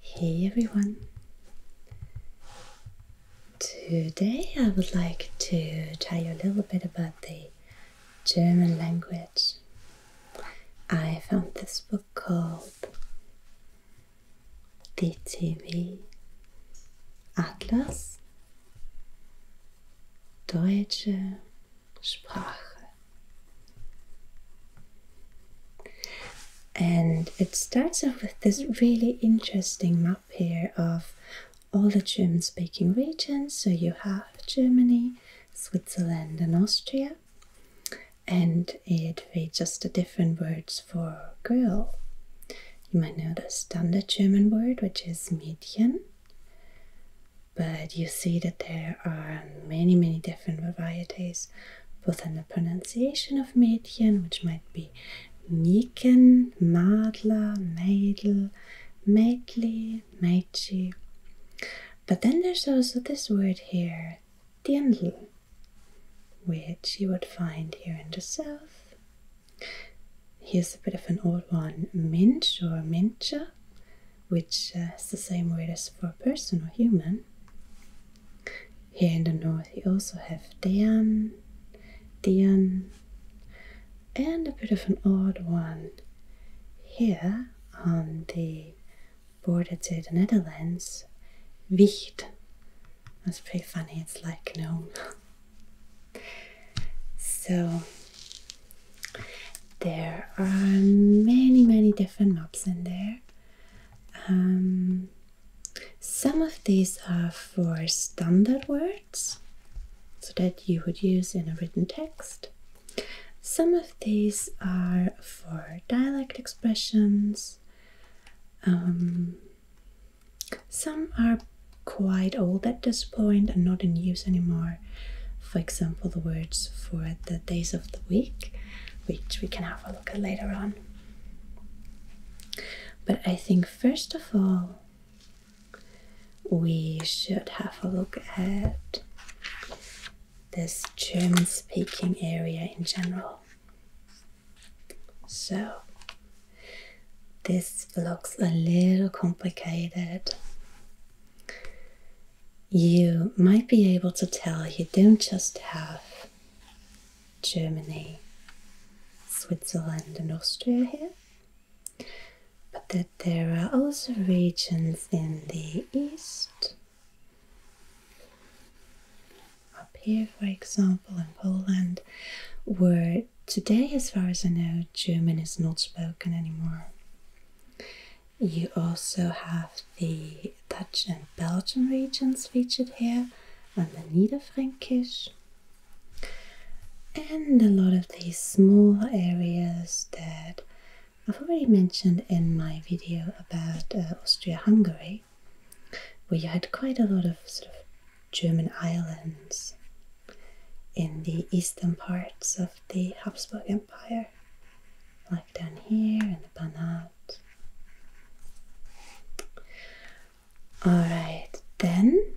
Hey everyone! Today I would like to tell you a little bit about the German language. I found this book called DTV Atlas Deutsche Sprache. And it starts off with this really interesting map here of all the German speaking regions. So you have Germany, Switzerland, and Austria. And it reads just the different words for girl. You might know the standard German word, which is Mädchen. But you see that there are many, many different varieties differences, both the pronunciation of Mädchen, which might be Mädchen, Madler, Mädel, Mädli, Mädchi. But then there's also this word here, Dirndl, which you would find here in the south. Here's a bit of an old one, Minch or Mincha, which uh, is the same word as for person or human. Here in the north, you also have Dian, Dian, and a bit of an odd one here on the border to the Netherlands, Wicht. That's pretty funny, it's like gnome. so, there are many, many different maps in there. Um, some of these are for standard words, so that you would use in a written text. Some of these are for dialect expressions. Um, some are quite old at this point and not in use anymore. For example, the words for the days of the week which we can have a look at later on. But I think first of all, we should have a look at this German speaking area in general. So, this looks a little complicated you might be able to tell you don't just have Germany, Switzerland, and Austria here, but that there are also regions in the east. Up here, for example, in Poland, where today, as far as I know, German is not spoken anymore. You also have the Dutch and Belgian regions featured here, and the Niederfränkisch, and a lot of these small areas that I've already mentioned in my video about uh, Austria Hungary, where you had quite a lot of sort of German islands in the eastern parts of the Habsburg Empire, like down here in the Banat. Alright, then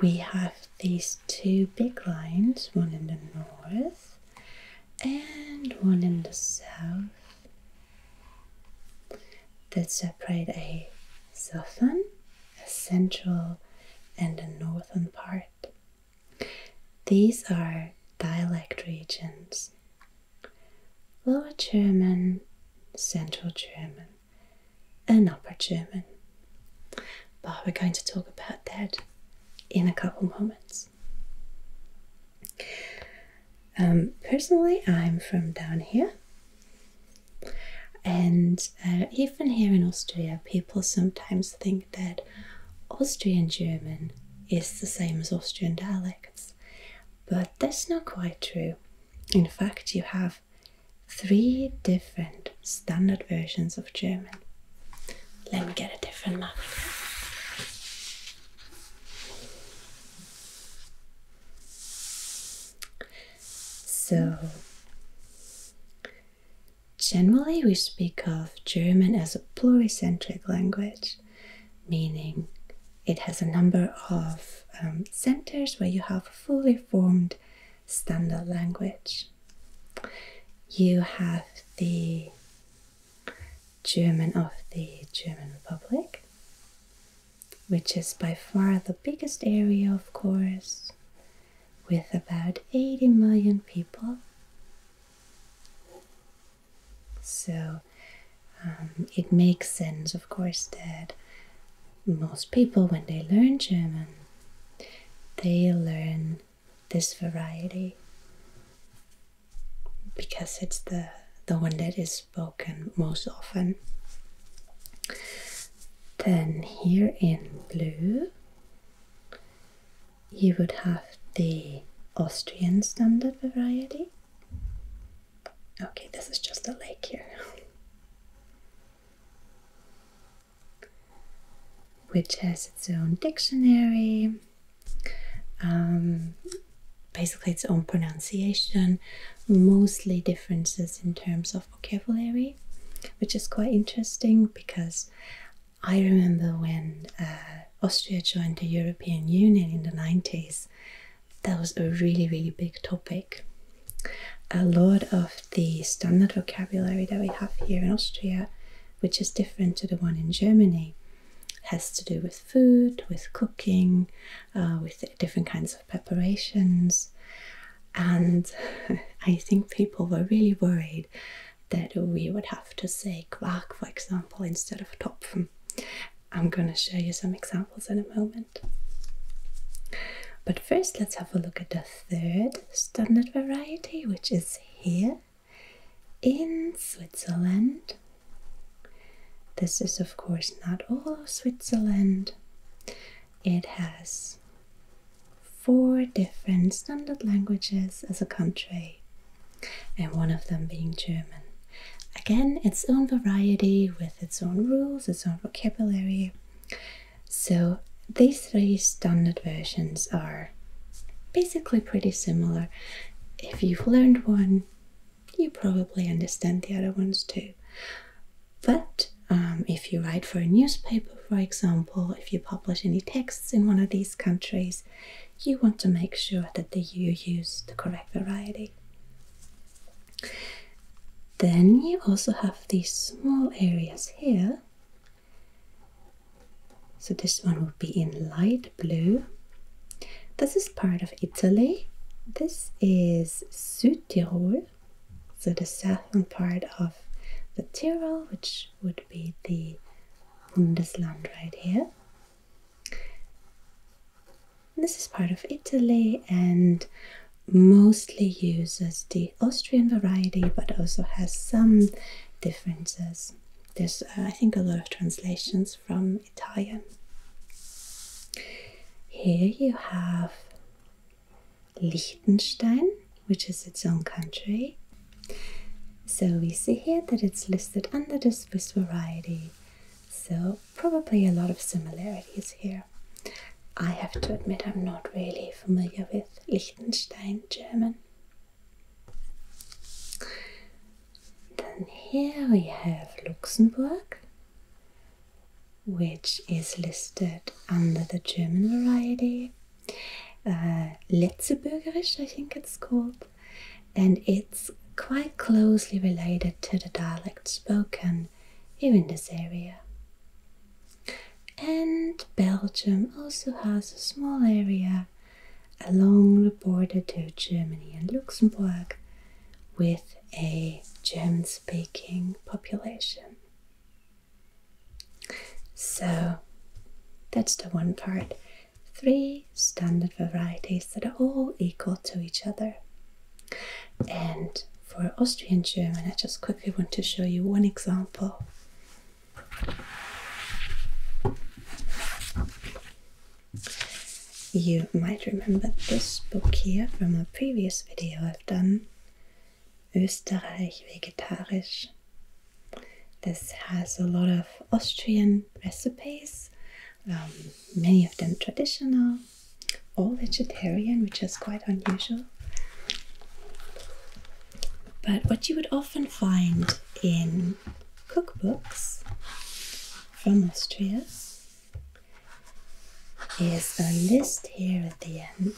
we have these two big lines one in the north and one in the south that separate a southern, a central, and a northern part these are dialect regions Lower German, Central German, and Upper German. But we're going to talk about that in a couple moments. Um, personally, I'm from down here, and uh, even here in Austria, people sometimes think that Austrian German is the same as Austrian dialects, but that's not quite true. In fact, you have three different standard versions of German. Let me get a different map. So, generally, we speak of German as a pluricentric language, meaning it has a number of um, centers where you have fully formed standard language. You have the German of the German Republic, which is by far the biggest area, of course, with about 80 million people. So um, it makes sense, of course, that most people, when they learn German, they learn this variety because it's the the one that is spoken most often. Then here in blue you would have the Austrian standard variety. Okay, this is just a lake here. Which has its own dictionary, um, basically its own pronunciation, mostly differences in terms of vocabulary, which is quite interesting because I remember when uh, Austria joined the European Union in the 90s, that was a really, really big topic. A lot of the standard vocabulary that we have here in Austria, which is different to the one in Germany, has to do with food, with cooking, uh, with different kinds of preparations. And I think people were really worried that we would have to say quark, for example, instead of topfen. I'm going to show you some examples in a moment. But first, let's have a look at the third standard variety, which is here in Switzerland. This is, of course, not all of Switzerland. It has four different standard languages as a country and one of them being German. Again, its own variety with its own rules, its own vocabulary. So, these three standard versions are basically pretty similar. If you've learned one, you probably understand the other ones too. But um, if you write for a newspaper, for example, if you publish any texts in one of these countries, you want to make sure that you use the correct variety. Then you also have these small areas here. So this one would be in light blue. This is part of Italy. This is Südtirol, so the southern part of the Tyrol, which would be the Bundesland right here. This is part of Italy and mostly uses the Austrian variety but also has some differences. There's, uh, I think, a lot of translations from Italian. Here you have Liechtenstein, which is its own country, so we see here that it's listed under the Swiss variety, so probably a lot of similarities here. I have to admit I'm not really familiar with Liechtenstein German. Then here we have Luxembourg, which is listed under the German variety. Uh, Letzeburgerisch, I think it's called and it's quite closely related to the dialect spoken here in this area. And Belgium also has a small area along the border to Germany and Luxembourg with a German speaking population. So that's the one part three standard varieties that are all equal to each other. And for Austrian German, I just quickly want to show you one example. You might remember this book here from a previous video I've done, Österreich Vegetarisch. This has a lot of Austrian recipes, um, many of them traditional, all vegetarian, which is quite unusual. But what you would often find in cookbooks from Austria is a list here at the end.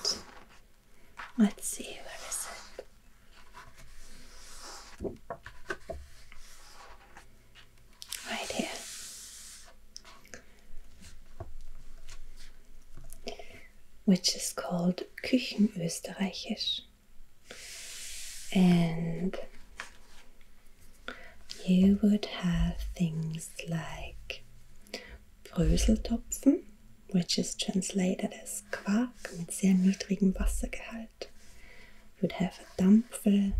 Let's see, where is it? Right here, which is called Küchenösterreichisch. And you would have things like Bröseltopfen, which is translated as Quark mit sehr niedrigem Wassergehalt. that would have a Dampfere,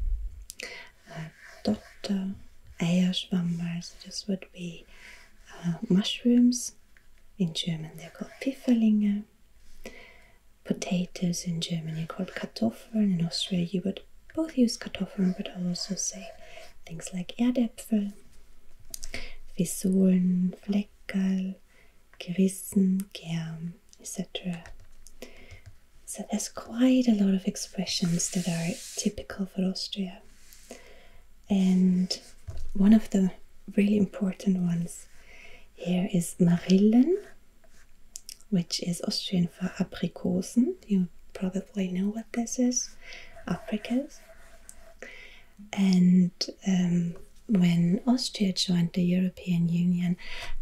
a Dotter, Eierswammer, so this would be uh, mushrooms. In German they're called Pfifferlinge. Potatoes in Germany called Kartoffeln. In Austria you would both use Kartoffeln but also say things like Erdäpfel, Fissuren, Fleckel gewissen, gern, etc. So there's quite a lot of expressions that are typical for Austria. And one of the really important ones here is Marillen, which is Austrian for Aprikosen. You probably know what this is, apricots. And um, when Austria joined the European Union,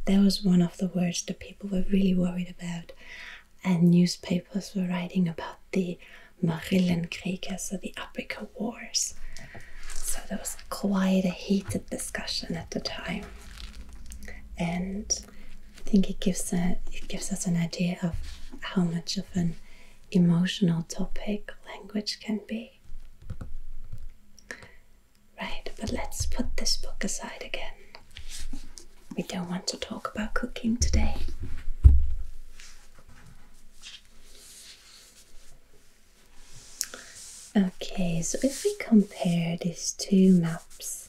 that was one of the words that people were really worried about. And newspapers were writing about the Marillenkrieg, so the Africa Wars. So there was quite a heated discussion at the time. And I think it gives, a, it gives us an idea of how much of an emotional topic language can be. Right, but let's put this book aside again. We don't want to talk about cooking today. Okay, so if we compare these two maps,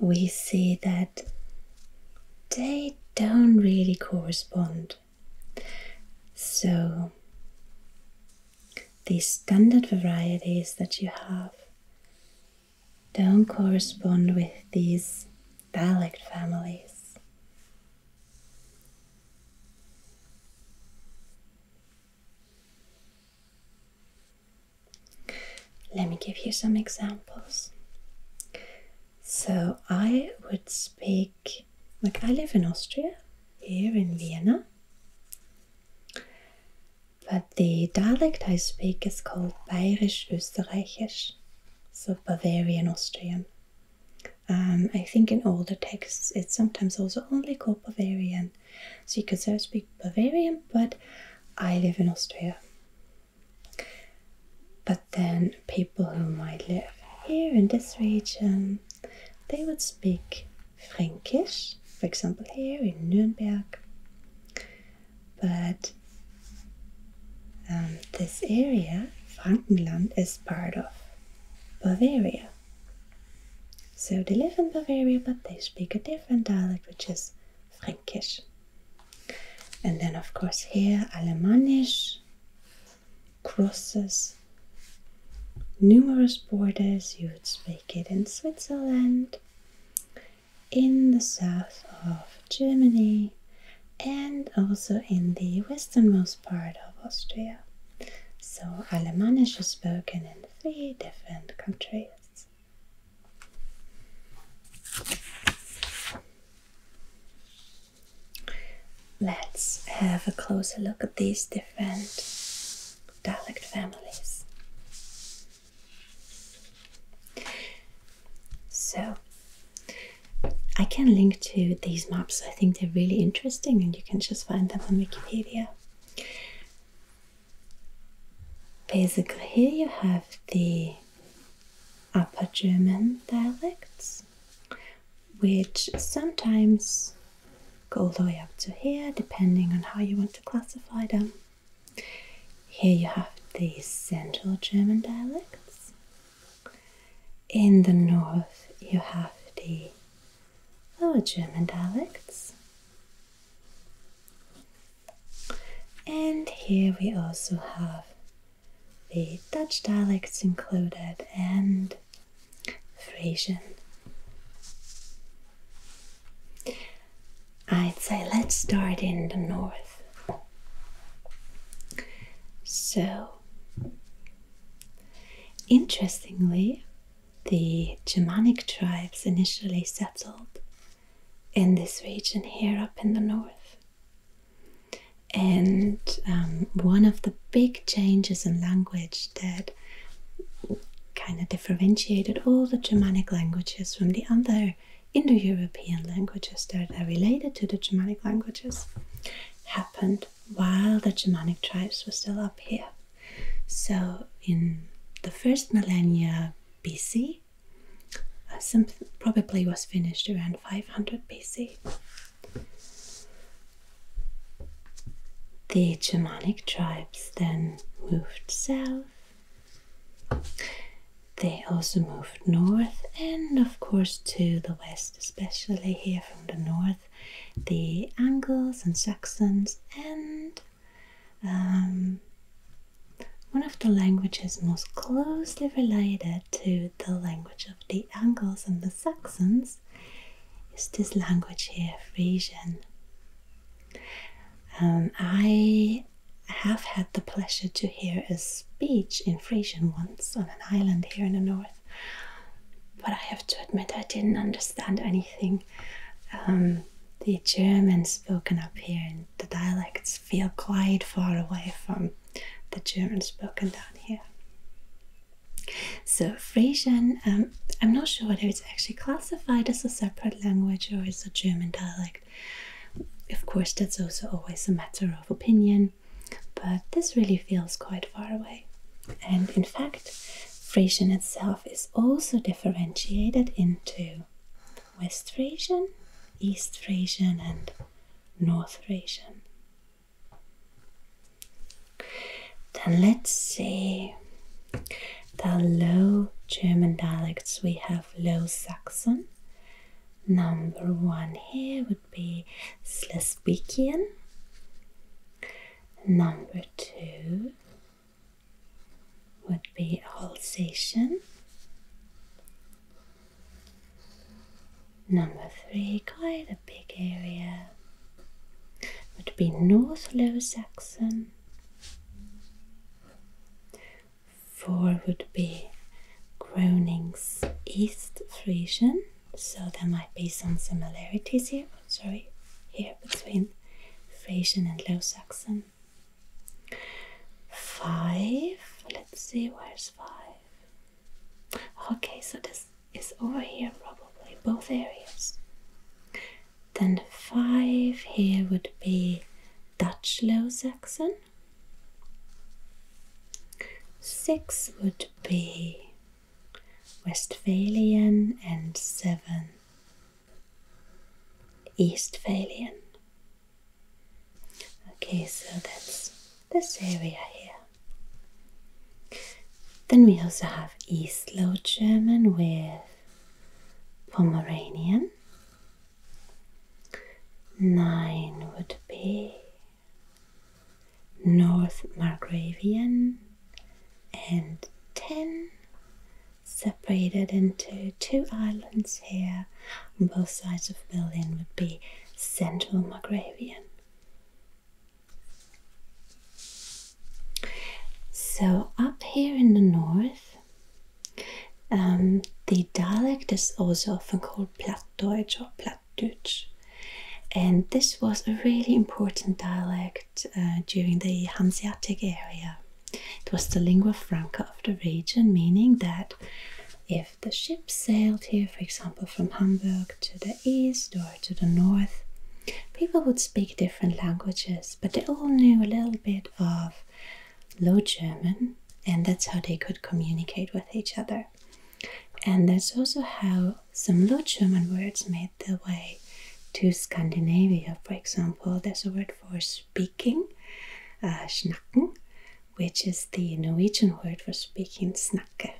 we see that they don't really correspond. So these standard varieties that you have don't correspond with these dialect families. Let me give you some examples. So, I would speak, like, I live in Austria, here in Vienna, but the dialect I speak is called Bayerisch Österreichisch, so Bavarian Austrian. Um, I think in older texts it's sometimes also only called Bavarian. So you could say I speak Bavarian, but I live in Austria. But then people who might live here in this region they would speak Frankish, for example, here in Nuremberg. But um, this area, Frankenland, is part of Bavaria. So they live in Bavaria, but they speak a different dialect, which is Frankish. And then, of course, here, Alemannish crosses numerous borders. You would speak it in Switzerland, in the south of Germany, and also in the westernmost part of Austria. So, Alemannisch is spoken in three different countries. Let's have a closer look at these different dialect families. So I can link to these maps. I think they're really interesting and you can just find them on Wikipedia. Basically, here you have the Upper German dialects, which sometimes go all the way up to here depending on how you want to classify them. Here you have the Central German dialects. In the north you have the Lower German dialects. And here we also have the Dutch dialects included and Frisian. I'd say let's start in the north. So, interestingly, the Germanic tribes initially settled in this region here up in the north. And um, one of the big changes in language that kind of differentiated all the Germanic languages from the other Indo European languages that are related to the Germanic languages happened while the Germanic tribes were still up here. So, in the first millennia BC, probably was finished around 500 BC. The Germanic tribes then moved south. They also moved north and, of course, to the west, especially here from the north, the Angles and Saxons, and um, one of the languages most closely related to the language of the Angles and the Saxons Netherlands is this language here, Frisian. Um, I have had the pleasure to hear a speech in Frisian once on an island here in the north, but I have to admit I didn't understand anything. Um, the German spoken up here and the dialects feel quite far away from the German spoken down here. So Frisian, um, I'm not sure whether it's actually classified as a separate language or as a German dialect. Of course, that's also always a matter of opinion, but this really feels quite far away. And in fact, Frisian itself is also differentiated into West Frisian, East Frisian, and North Frisian. Then let's see the Low German dialects. We have Low Saxon. Number one here would be Slesvikian. Number two would be Holsation. Number three, quite a big area, would be North Low Saxon. Four would be Gronings East Frisian, so there might be some similarities here. Sorry, here between Frisian and Low Saxon. Five, let's see, where's five? Okay, so this is over here probably, both areas. Then five here would be Dutch Low Saxon. Six would be Westphalian and seven Eastphalian. Okay, so that's this area here. Then we also have East Low German with Pomeranian. Nine would be North Margravian and ten separated into two islands here on both sides of Berlin would be Central Margravian. So, up here in the north, um, the dialect is also often called Plattdeutsch or Plattdeutsch. And this was a really important dialect uh, during the Hanseatic area. It was the lingua franca of the region, meaning that if the ship sailed here, for example, from Hamburg to the east or to the north, people would speak different languages, but they all knew a little bit of Low German, and that's how they could communicate with each other. And that's also how some Low German words made their way to Scandinavia. For example, there's a word for speaking, uh, which is the Norwegian word for speaking, snakke.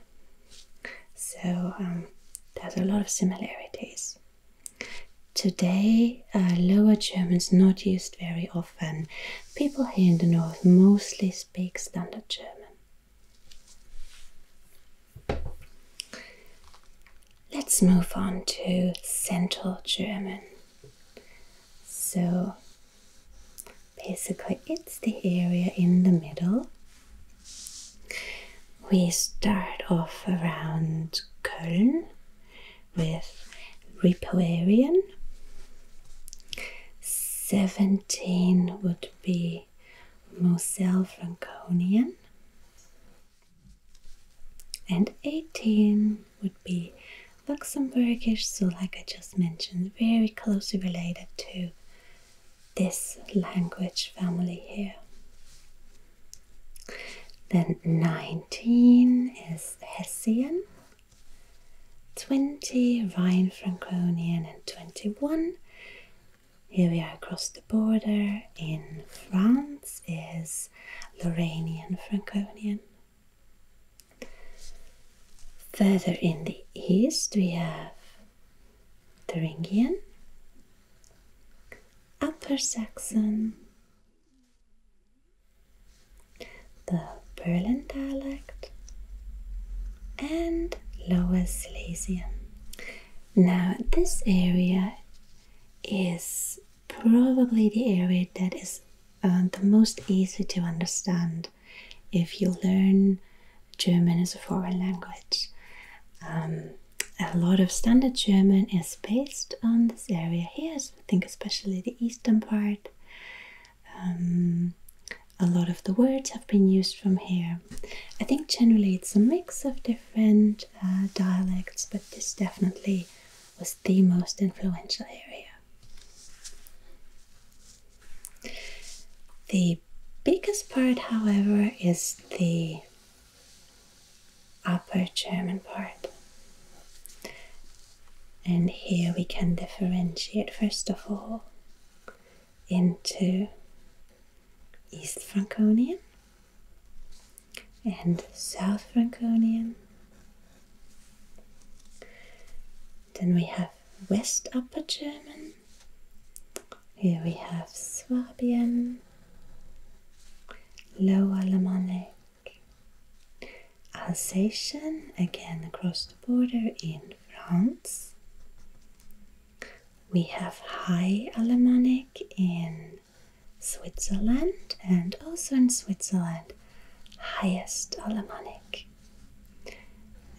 So um, there's a lot of similarities. Today, uh, Lower German is not used very often. People here in the north mostly speak Standard German. Let's move on to Central German. So, basically, it's the area in the middle we start off around Köln with Ripuarian. 17 would be Moselle Franconian. And 18 would be Luxembourgish, so like I just mentioned, very closely related to this language family here. Then 19 is Hessian, 20 Rhine Franconian, and 21. Here we are across the border in France is Lorrainian Franconian. Further in the east we have Thuringian, Upper Saxon. The Berlin dialect and Lower Silesian. Now, this area is probably the area that is uh, the most easy to understand if you learn German as a foreign language. Um, a lot of standard German is based on this area here. I think especially the eastern part. Um, a lot of the words have been used from here. I think generally it's a mix of different uh, dialects, but this definitely was the most influential area. The biggest part, however, is the upper German part. And here we can differentiate first of all into East Franconian and South Franconian. Then we have West Upper German. Here we have Swabian Lower Alemannic. Alsatian, again across the border in France. We have High Alemannic in Switzerland and also in Switzerland, Highest Alemannic.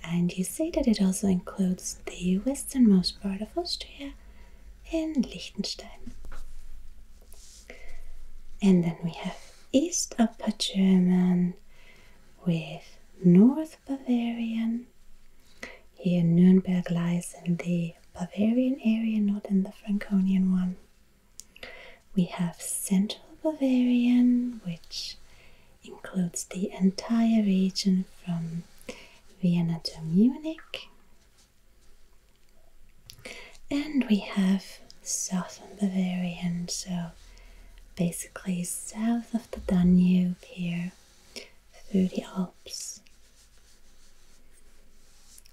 And you see that it also includes the westernmost part of Austria and Liechtenstein. And then we have East Upper German with North Bavarian. Here Nuremberg lies in the Bavarian area, not in the Franconian one. We have Central Bavarian, which includes the entire region from Vienna to Munich. And we have southern Bavarian, so basically south of the Danube here, through the Alps,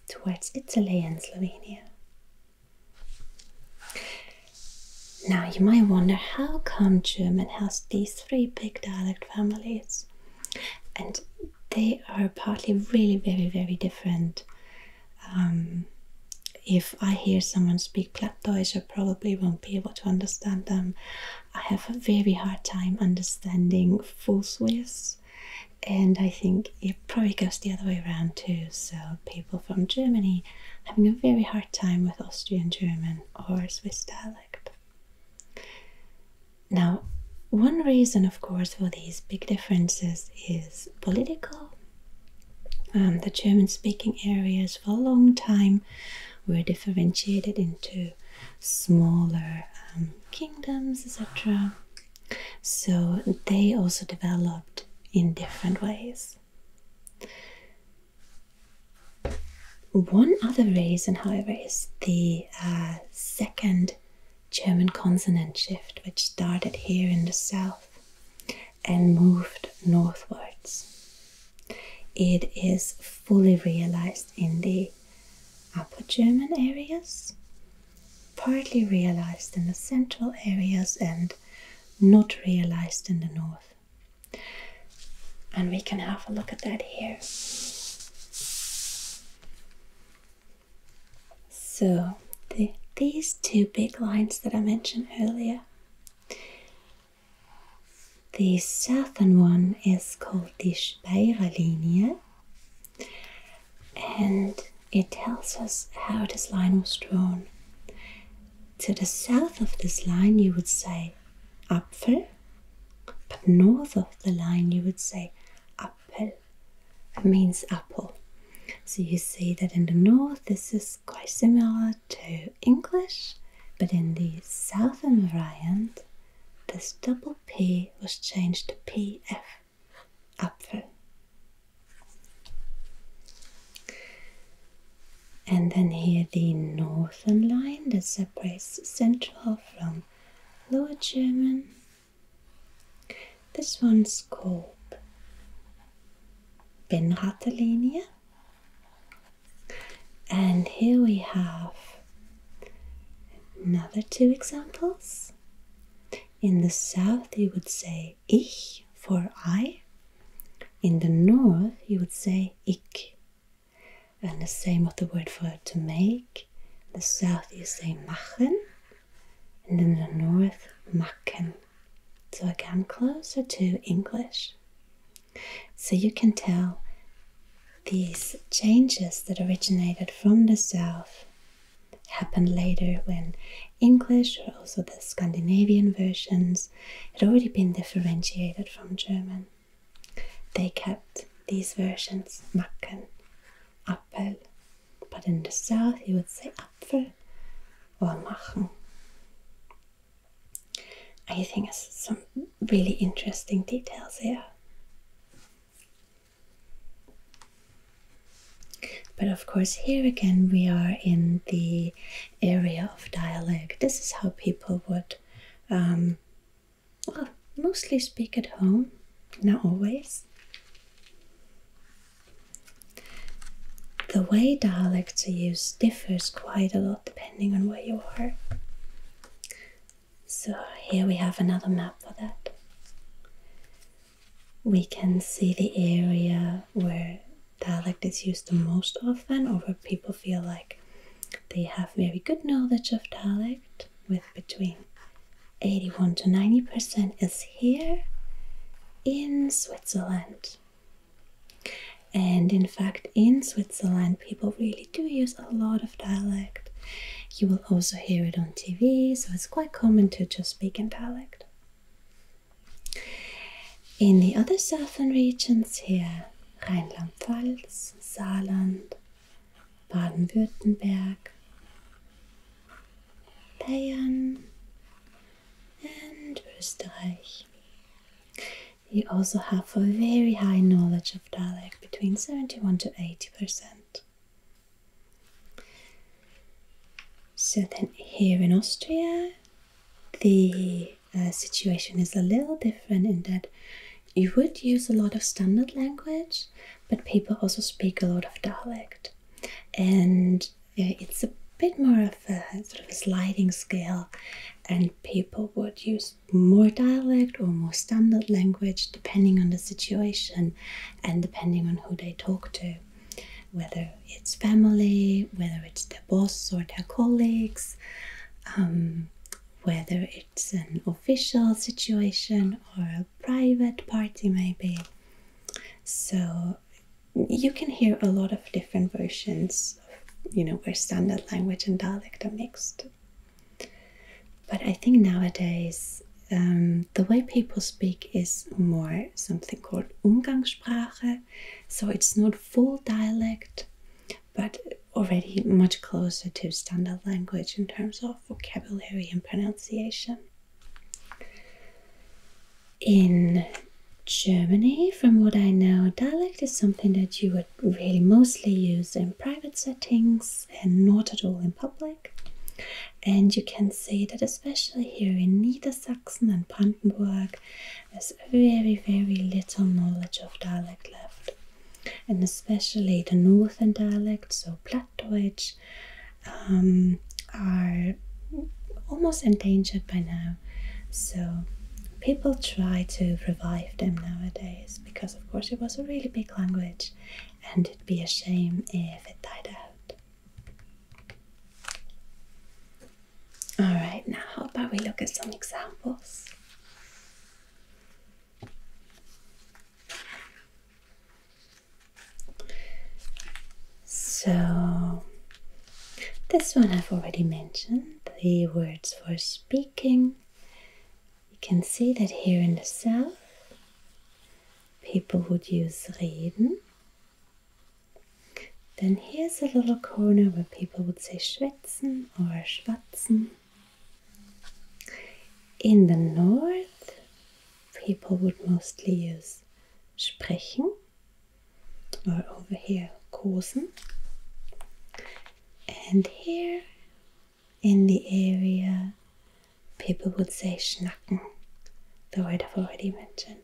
towards Italy and Slovenia. Now you might wonder how come German has these three big dialect families? and they are partly really very very different. Um, if I hear someone speak Plattdeutsch, I probably won't be able to understand them. I have a very hard time understanding full Swiss, and I think it probably goes the other way around too. So people from Germany having a very hard time with Austrian German or Swiss dialect. Now, one reason, of course, for these big differences is political. Um, the German speaking areas for a long time were differentiated into smaller um, kingdoms, etc. So they also developed in different ways. One other reason, however, is the uh, second German consonant shift, which started here in the south and moved northwards. It is fully realized in the Upper German areas, partly realized in the central areas, and not realized in the north. And we can have a look at that here. So, these two big lines that I mentioned earlier. The southern one is called the Spira Linea, and it tells us how this line was drawn. To the south of this line, you would say Apfel, but north of the line, you would say Appel means apple. So you see that in the north this is quite similar to English, but in the southern variant this double P was changed to PF, Apfel. And then here the northern line that separates central from Lower German this one's called Benratalinia. And here we have another two examples. In the south, you would say ich for I. In the north, you would say ik. And the same with the word for to make. In the south, you say machen and in the north, Macken. So again, closer to English. So you can tell these changes that originated from the south happened later when English or also the Scandinavian versions had already been differentiated from German. They kept these versions, Macken, apple. But in the south, you would say apfel or machen. I think it's some really interesting details here. But of course, here again, we are in the area of dialect. This is how people would, um, mostly speak at home, not always, the way dialects are used differs quite a lot depending on where you are. So here we have another map for that. We can see the area where dialect is used the most often or where people feel like they have very good knowledge of dialect with between 81 to 90 percent is here in Switzerland. And in fact, in Switzerland, people really do use a lot of dialect. You will also hear it on TV, so it's quite common to just speak in dialect. In the other southern regions here, Rheinland-Pfalz, Saarland, Baden-Württemberg, Bayern, and Österreich. You also have a very high knowledge of dialect, between 71 to 80%. So then here in Austria, the uh, situation is a little different in that you would use a lot of standard language, but people also speak a lot of dialect, and it's a bit more of a sort of sliding scale, and people would use more dialect or more standard language depending on the situation and depending on who they talk to. Whether it's family, whether it's their boss or their colleagues, um, whether it's an official situation or private party, maybe. So you can hear a lot of different versions, of, you know, where standard language and dialect are mixed. But I think nowadays um, the way people speak is more something called Umgangssprache, so it's not full dialect, but already much closer to standard language in terms of vocabulary and pronunciation. In Germany, from what I know, dialect is something that you would really mostly use in private settings and not at all in public. And you can see that, especially here in Niedersachsen and Brandenburg, there's very, very little knowledge of dialect left. And especially the northern dialects. so which um, are almost endangered by now. So people try to revive them nowadays because, of course, it was a really big language and it'd be a shame if it died out. Alright, now how about we look at some examples? So, this one I've already mentioned the words for speaking. You can see that here in the south, people would use reden. Then here's a little corner where people would say schwätzen or schwatzen. In the north, people would mostly use sprechen, or over here, kursen, And here in the area, people would say schnacken, the word I've already mentioned.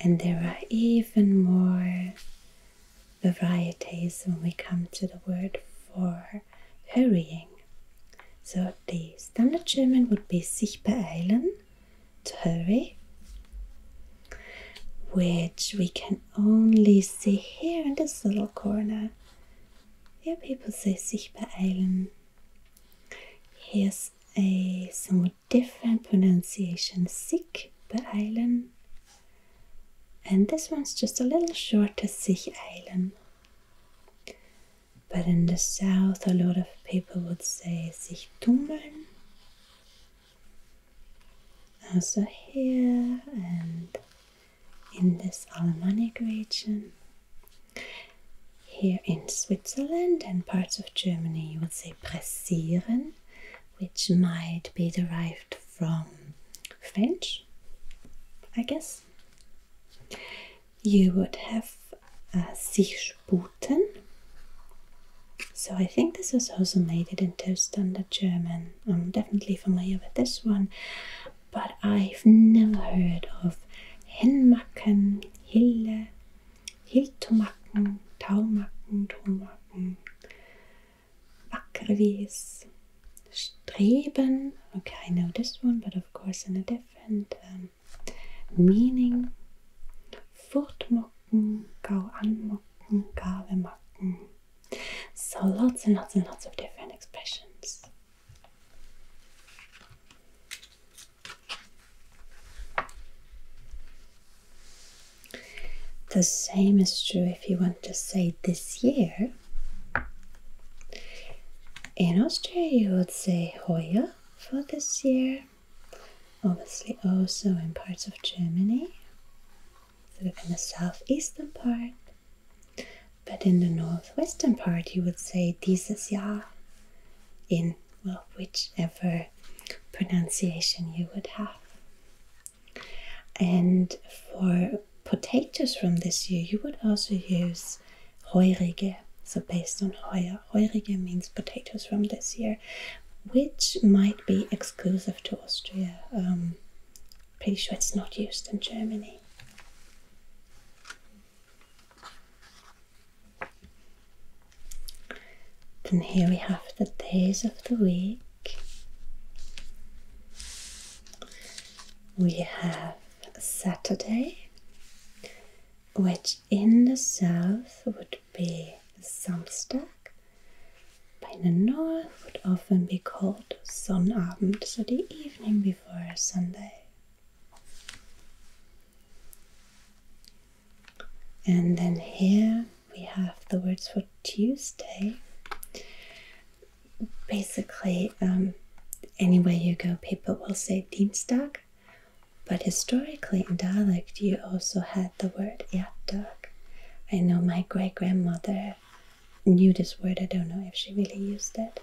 And there are even more varieties when we come to the word for hurrying. So the standard German would be sich beeilen, to hurry, which we can only see here in this little corner. Here people say sich beeilen. Here's a somewhat different pronunciation, sich beeilen. And this one's just a little shorter, sich eilen. But in the south, a lot of people would say sich tummeln. Also here and in this Alemannic region. Here in Switzerland and parts of Germany, you would say pressieren, which might be derived from French, I guess. You would have uh, sich sputen. So I think this was also made it into standard German. I'm definitely familiar with this one, but I've never heard of hinmacken, hille, hiltomacken, taumacken, tomacken, wackerwies. Streben. Okay, I know this one, but of course in a different um, meaning. Fortmocken, go anmocken, gave mocken. So lots and lots and lots of different expressions. The same is true if you want to say this year. In Austria, you would say Hoya for this year. Obviously, also in parts of Germany, sort of in the southeastern part. But in the northwestern part, you would say dieses Jahr in well, whichever pronunciation you would have. And for potatoes from this year, you would also use heurige. So based on heuer, heurige means potatoes from this year, which might be exclusive to Austria. Um, pretty sure it's not used in Germany. Then here we have the days of the week. We have Saturday, which in the south would be Samstag, but in the north would often be called Sonnabend, so the evening before Sunday. And then here we have the words for Tuesday, basically, um, anywhere you go, people will say Dienstag, but historically in dialect, you also had the word Jattag. I know my great grandmother knew this word, I don't know if she really used that.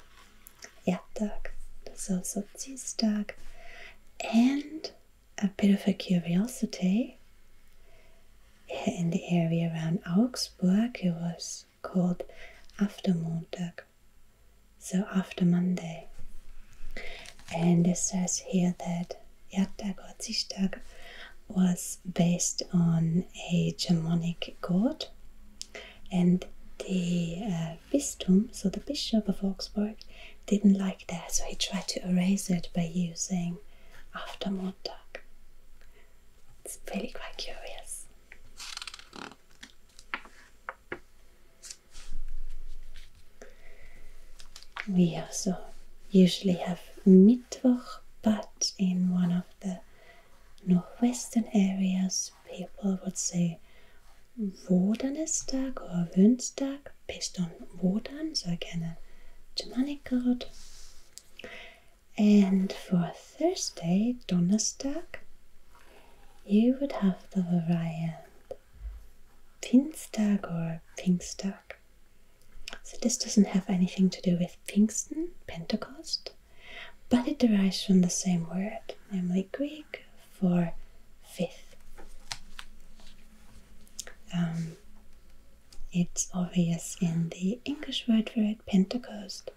Jattag, there's also Dienstag, and a bit of a curiosity. In the area around Augsburg, it was called Aftermontag, so after Monday. And it says here that Erdtag or Zichtag was based on a Germanic god, and the uh, so the Bishop of Augsburg, didn't like that, so he tried to erase it by using Aftermontag. It's really quite curious. We also usually have Mittwoch, but in one of the northwestern areas, people would say Vårdanesdag or Wunstag based on Vårdan, so again a Germanic god. And for Thursday, Donnerstag, you would have the variant Pinstag or Pinkstag. So this doesn't have anything to do with Pinkston, Pentecost, but it derives from the same word, namely Greek for fifth. Um, it's obvious in the English word for it, Pentecost,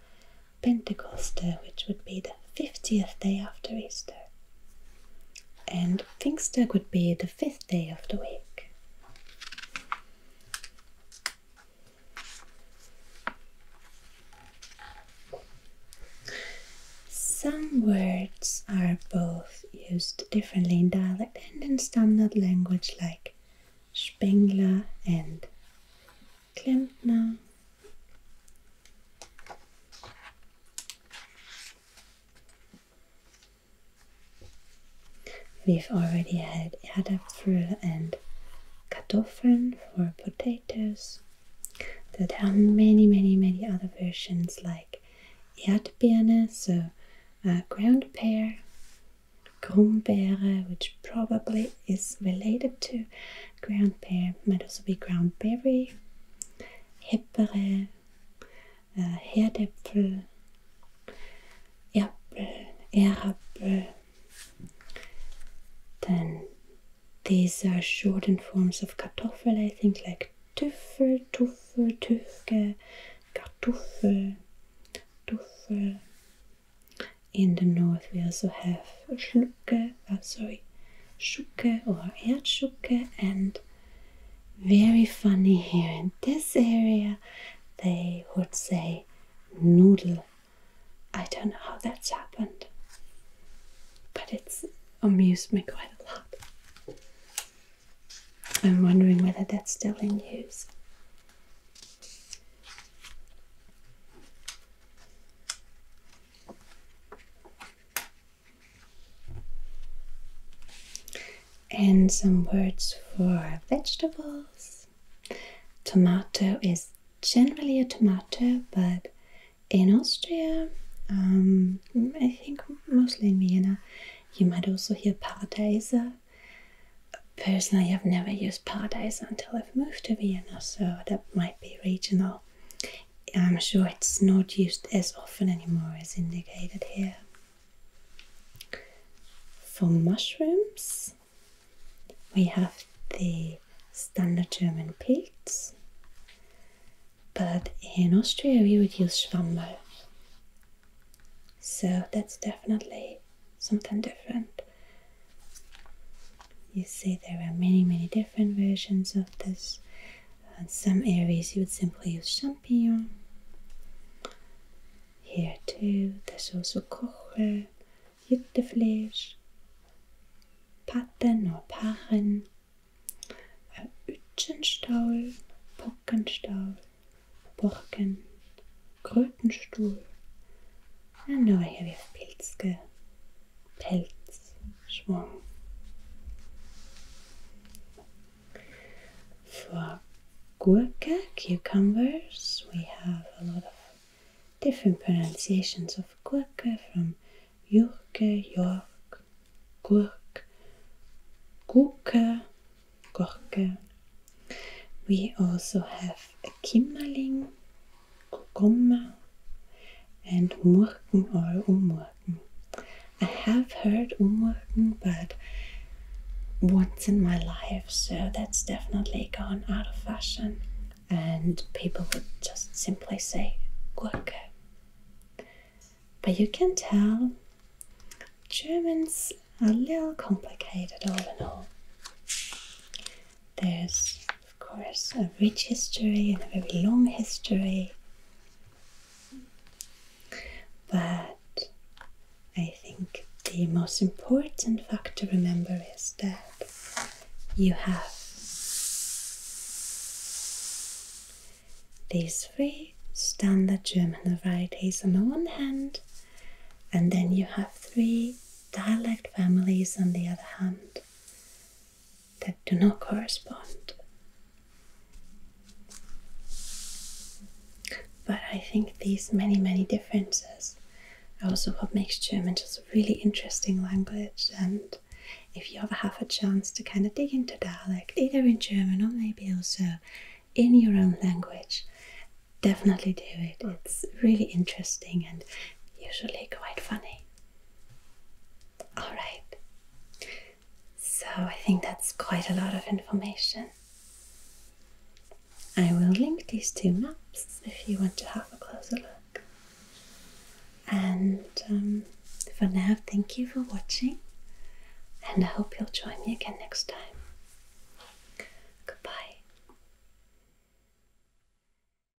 Pentecost, which would be the 50th day after Easter. And Pfingstdag would be the fifth day of the week. Some words are both used differently in dialect and in standard language like Spengler and Klempner. We've already had Erdäpfel and Kartoffeln for potatoes. There are many, many, many other versions like Erdbeerne, so ground pear, Grumbeere, which probably is related to ground pear might also be ground berry, Hippere, äh, Herdäpfel, Erpel, Erapel. Then these are shortened forms of Kartoffel, I think, like Tüffel, Tuffel, Tüfke, Kartoffel, Tuffel, In the north we also have Schlucke, uh, sorry, Schucke or Erdschucke and very funny here in this area they would say noodle. I don't know how that's happened, but it's amused me quite a lot. I'm wondering whether that's still in use. And some words for vegetables. Tomato is generally a tomato, but in Austria, um, I think mostly in Vienna, you might also hear paradise. Personally, I've never used paradise until I've moved to Vienna, so that might be regional. I'm sure it's not used as often anymore as indicated here. For mushrooms, we have the standard German pigs, but in Austria we would use Schwammel. So that's definitely something different. You see, there are many, many different versions of this. In uh, some areas, you would simply use champignon. Here, too, there's also kochel, Juttefleisch, Patten or Parren, Utschenstaul, Pockenstaul, Borken, Krötenstuhl, and now here we have Pilzke, Pelzschwung. For gurka cucumbers, we have a lot of different pronunciations of gurka from yurke, york, gurk, gurka, gurka. We also have a kimmerling Gomma and Umurken or Umurken. I have heard Umurken, but once in my life, so that's definitely gone out of fashion. And people would just simply say Gurke. But you can tell Germans are a little complicated all in all. There's, of course, a rich history and a very long history. But I think the most important fact to remember is that you have these three standard German varieties on the one hand, and then you have three dialect families on the other hand that do not correspond. But I think these many, many differences are also what makes German just a really interesting language. And if you ever have a chance to kind of dig into dialect, either in German or maybe also in your own language, definitely do it. It's really interesting and usually quite funny. All right. So I think that's quite a lot of information. I will link these two maps if you want to have a closer look. And um, for now, thank you for watching, and I hope you'll join me again next time. Goodbye.